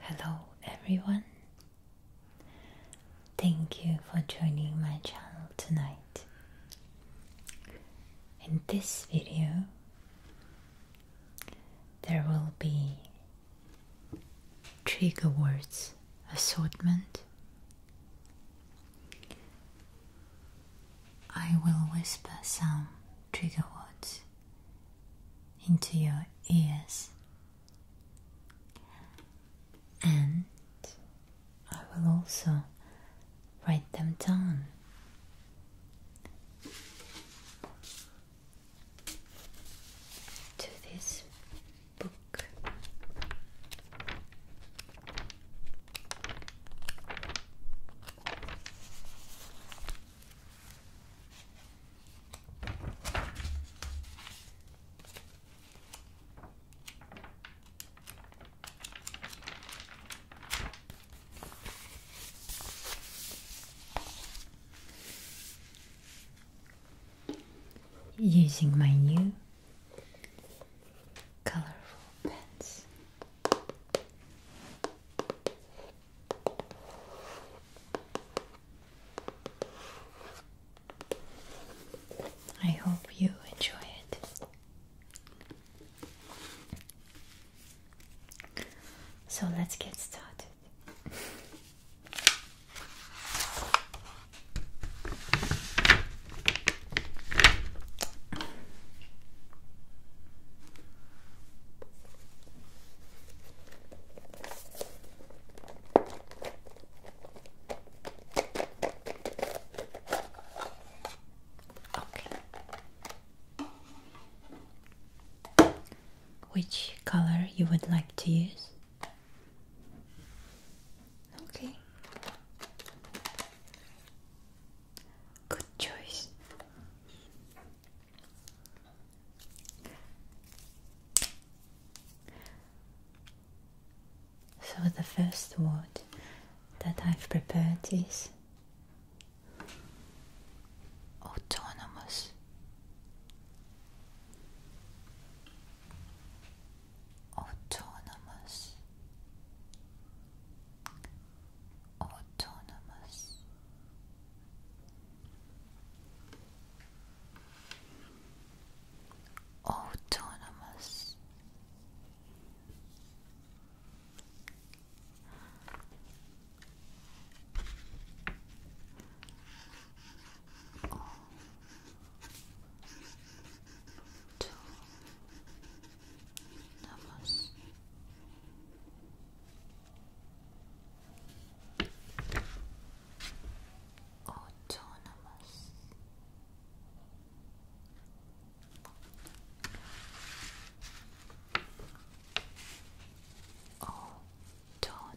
Hello, everyone. Thank you for joining my channel tonight. In this video, there will be trigger words assortment. I will whisper some trigger words into your ears, and I will also write them down. To this book, Using my new colorful pens. I hope you enjoy it. So let's get started. Okay. Which color you would like to use? Okay. Good choice. So, the first word that I've prepared is autonomous. Autonomous. Autonomous autonomous autonomous Autonomous. Autonomous.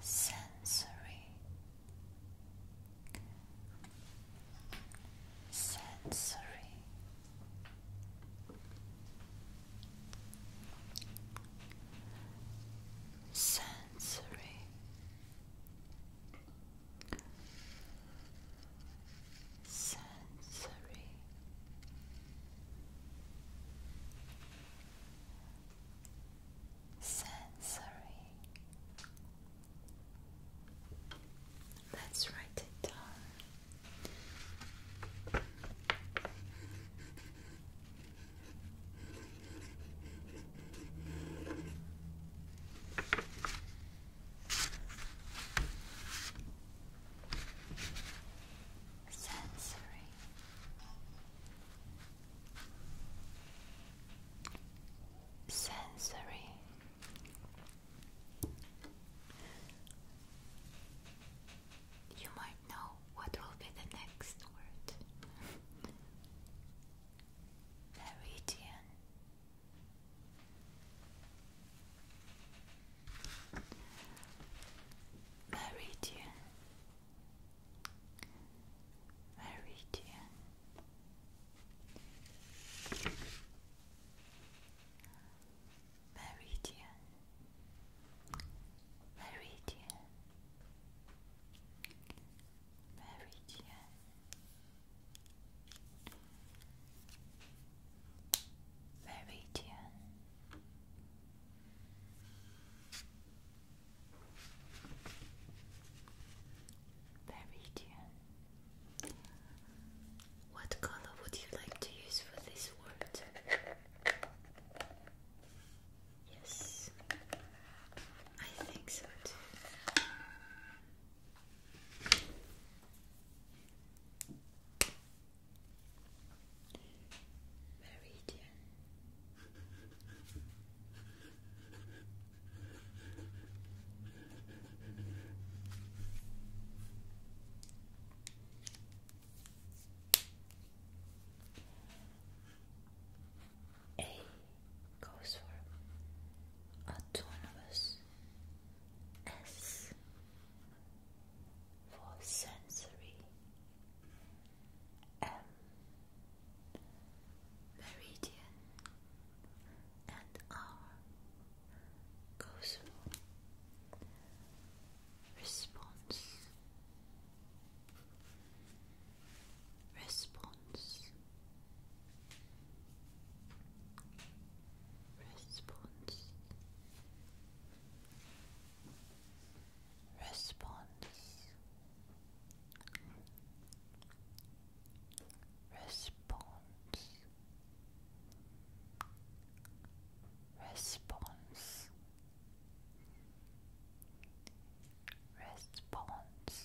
Sensory sensory sensory sensory sensory let's write it down Sensory. Sensory you might know what will be the next word. Meridian. Meridian. Meridian. Meridian, Meridian, Meridian. Meridian Meridian What color would you like to use for this word? Yes, I think so too. Meridian. A goes for autonomous, S for sensory, M meridian, and R goes for response response response response response response response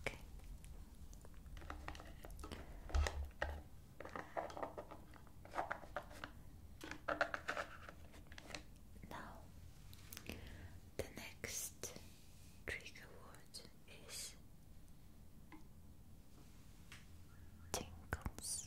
Okay. Now, the next trigger word is tingles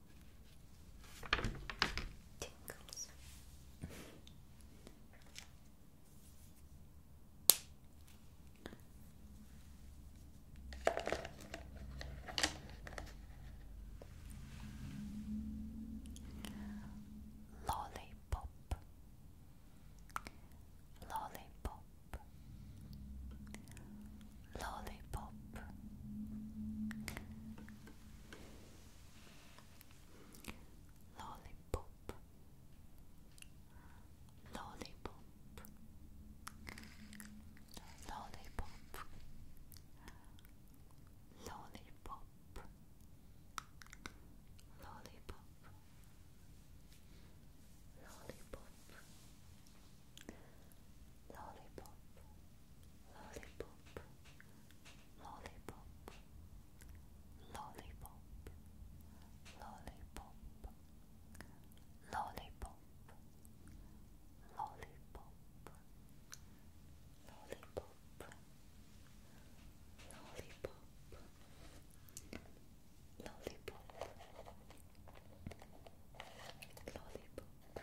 Tingles. Lollipop. Lollipop lollipop. Lollipop. Lollipop. Lollipop. Lollipop. Lollipop. Lollipop lollipop, lollipop, lollipop, lollipop, lollipop, lollipop, lollipop, lollipop. Lollipop, lollipop, Lollipop.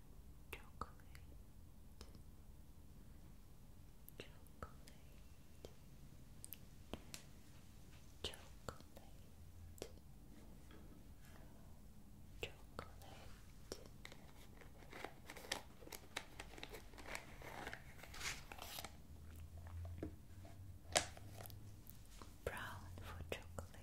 chocolate, chocolate, chocolate. Brown for chocolate,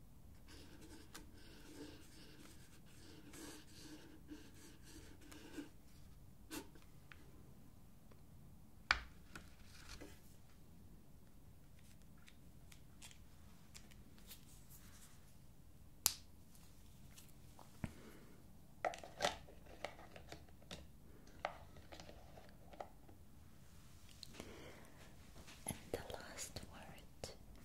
and the last word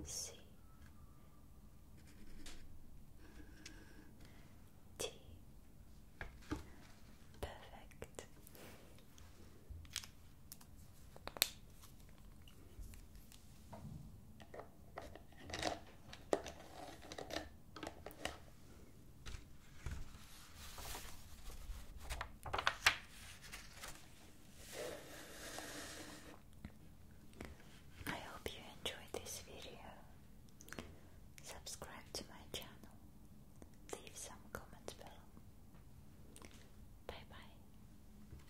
F E C T Perfect. I hope you enjoyed this video. Subscribe to my channel. Leave some comments below. Bye bye.